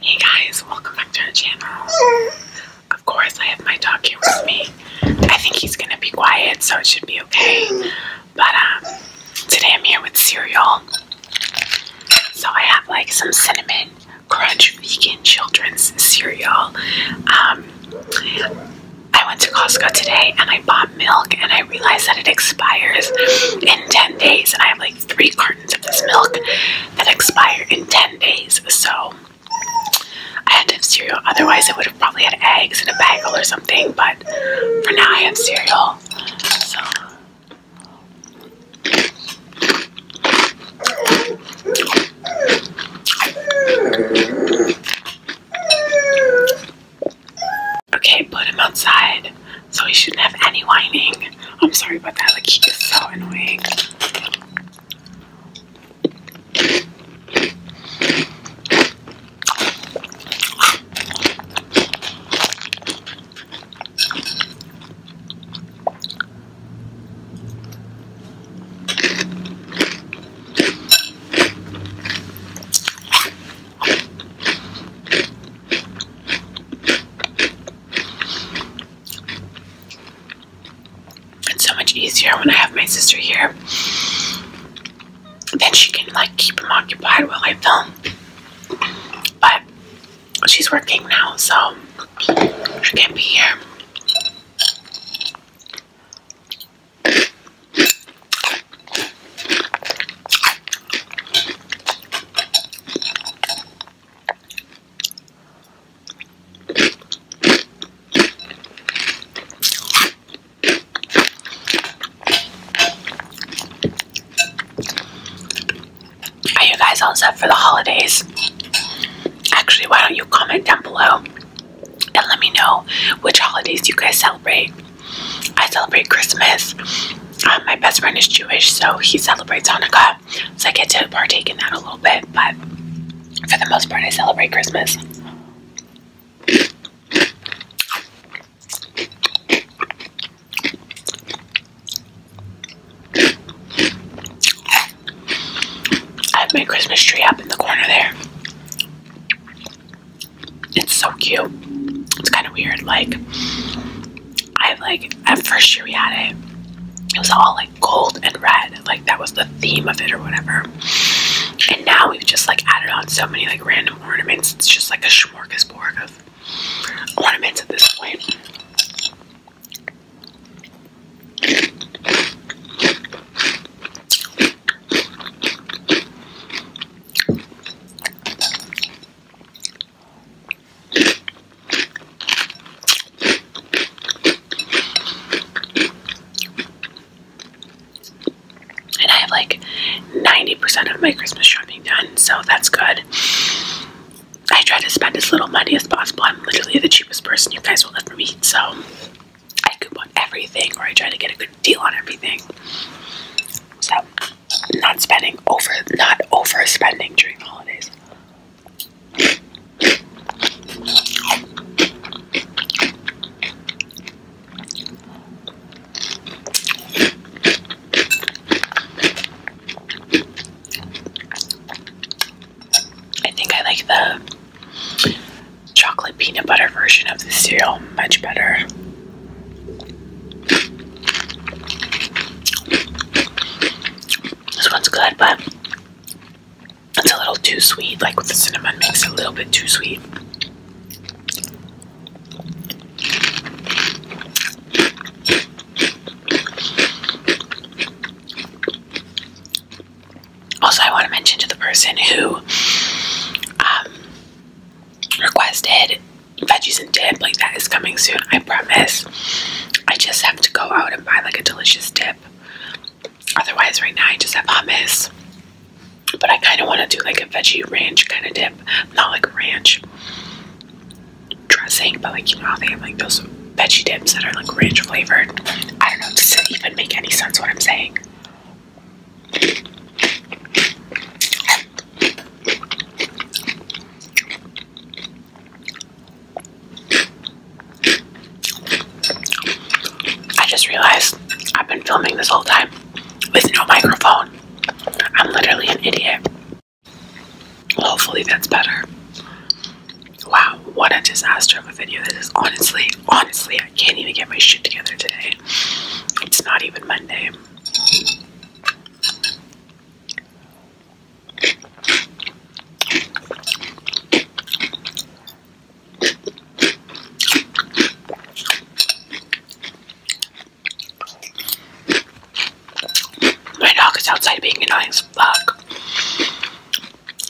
Hey guys, welcome back to our channel. Of course, I have my dog here with me. I think he's gonna be quiet, so it should be okay. But um, today I'm here with cereal. So I have like some cinnamon crunch vegan children's cereal. Um, I went to Costco today and I bought milk and I realized that it expires in 10 days and I am like three cartons of this milk that expire in 10 days. So I had to have cereal. Otherwise, I would have probably had eggs and a bagel or something. But for now, I have cereal. Okay, put him outside so he shouldn't have any whining. I'm sorry about that, like, he is so annoying. It's so much easier when I have my sister here. Then she can like keep them occupied while I film. But she's working now, so she can't be here. Are you guys all set for the holidays? Actually, why don't you comment down below and let me know which holidays you guys celebrate? I celebrate Christmas. Um, my best friend is Jewish, so he celebrates Hanukkah. So I get to partake in that a little bit, but for the most part, I celebrate Christmas. I have my Christmas tree up in the corner there. It's so cute. It's kind of weird. Like, I like, at first year we had it, it was all like gold and red. Like, that was the theme of it or whatever. And now we've just like added on so many like random ornaments. It's just like a smorgasbord of ornaments at this point. And I have like 90% of my Christmas shopping done, so that's good. I try to spend as little money as possible. I'm literally the cheapest person you guys will ever meet, so I coupon everything or I try to get a good deal on everything. So not spending over not overspending during holidays. I think I like the chocolate peanut butter version of the cereal. Much better. This one's good, but it's a little too sweet. Like with the cinnamon, makes it a little bit too sweet. Also, I want to mention to the person who um, requested veggies and dip, like that is coming soon, I promise. I just have to go out and buy like a delicious dip. Otherwise, right now I just have hummus. But I kind of want to do like a veggie ranch kind of dip. Not like ranch dressing, but like, you know how they have like those veggie dips that are like ranch flavored. I don't know, does it even make any sense what I'm saying? I just realized I've been filming this whole time with no microphone. I'm literally an idiot. Hopefully, that's better. Wow, what a disaster of a video this is. Honestly, honestly, I can't even get my shit together today. It's not even Monday. My dog is outside being annoying as fuck.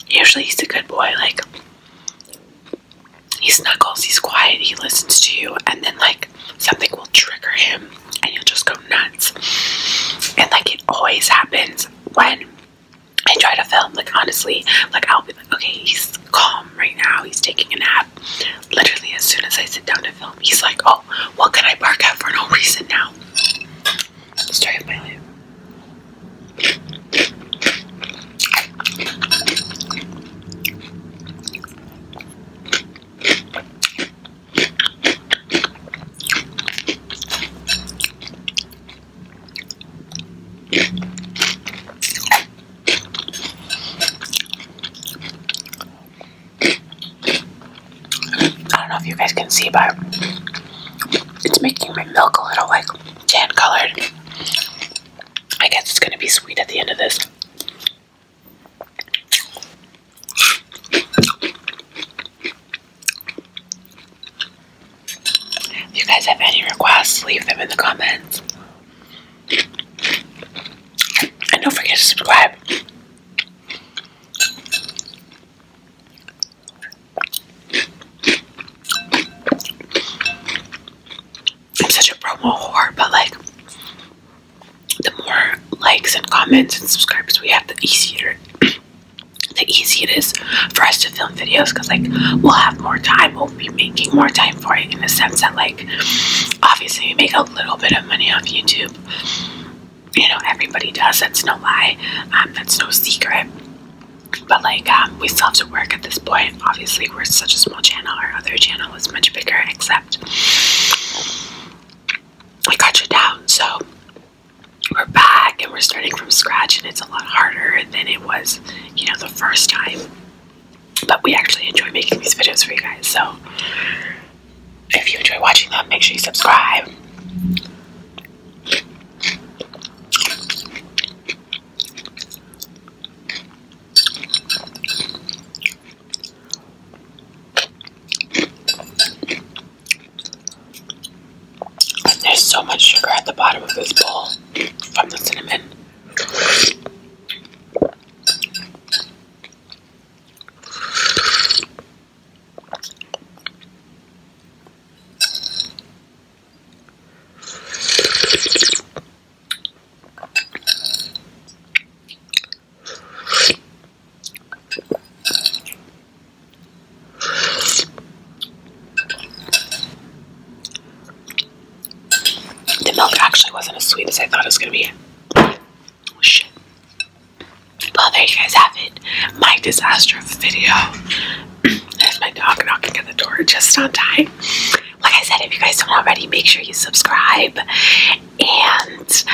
Usually he's a good boy, like he snuggles, he's quiet, he listens to you, and then like something will trigger him and he will just go nuts. And like it always happens when I try to film, like honestly, like I'll be like, okay, he's calm right now, he's taking a nap. Literally, as soon as I sit down to film, he's like, oh, what well, can I bark at for no reason now? I don't know if you guys can see, but it's making my milk a little like tan colored. I guess it's gonna be sweet at the end of this. you guys have any requests, leave them in the comments. And don't forget to subscribe. I'm such a promo whore, but like the more likes and comments and subscribers we have, the easier the easier it is for us to film videos because like we'll have more time, we'll be making more time for it in the sense that like obviously we make a little bit of money off YouTube you know, everybody does. That's no lie. Um, that's no secret. But like, um, we still have to work at this point. Obviously, we're such a small channel. Our other channel is much bigger, except I got you down. So we're back and we're starting from scratch, and it's a lot harder than it was, you know, the first time. But we actually enjoy making these videos for you guys. So if you enjoy watching them, make sure you subscribe. there's so much sugar at the bottom of this bowl from the cinnamon. The milk actually wasn't as sweet as I thought it was going to be. Oh, shit. Well, there you guys have it. My disaster video. There's my dog knocking at the door just on time. Like I said, if you guys don't already, make sure you subscribe. And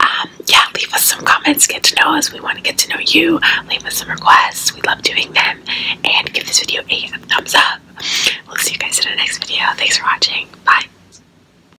um, yeah, leave us some comments. Get to know us. We want to get to know you. Leave us some requests. We love doing them. And give this video a thumbs up. We'll see you guys in the next video. Thanks for watching. Bye.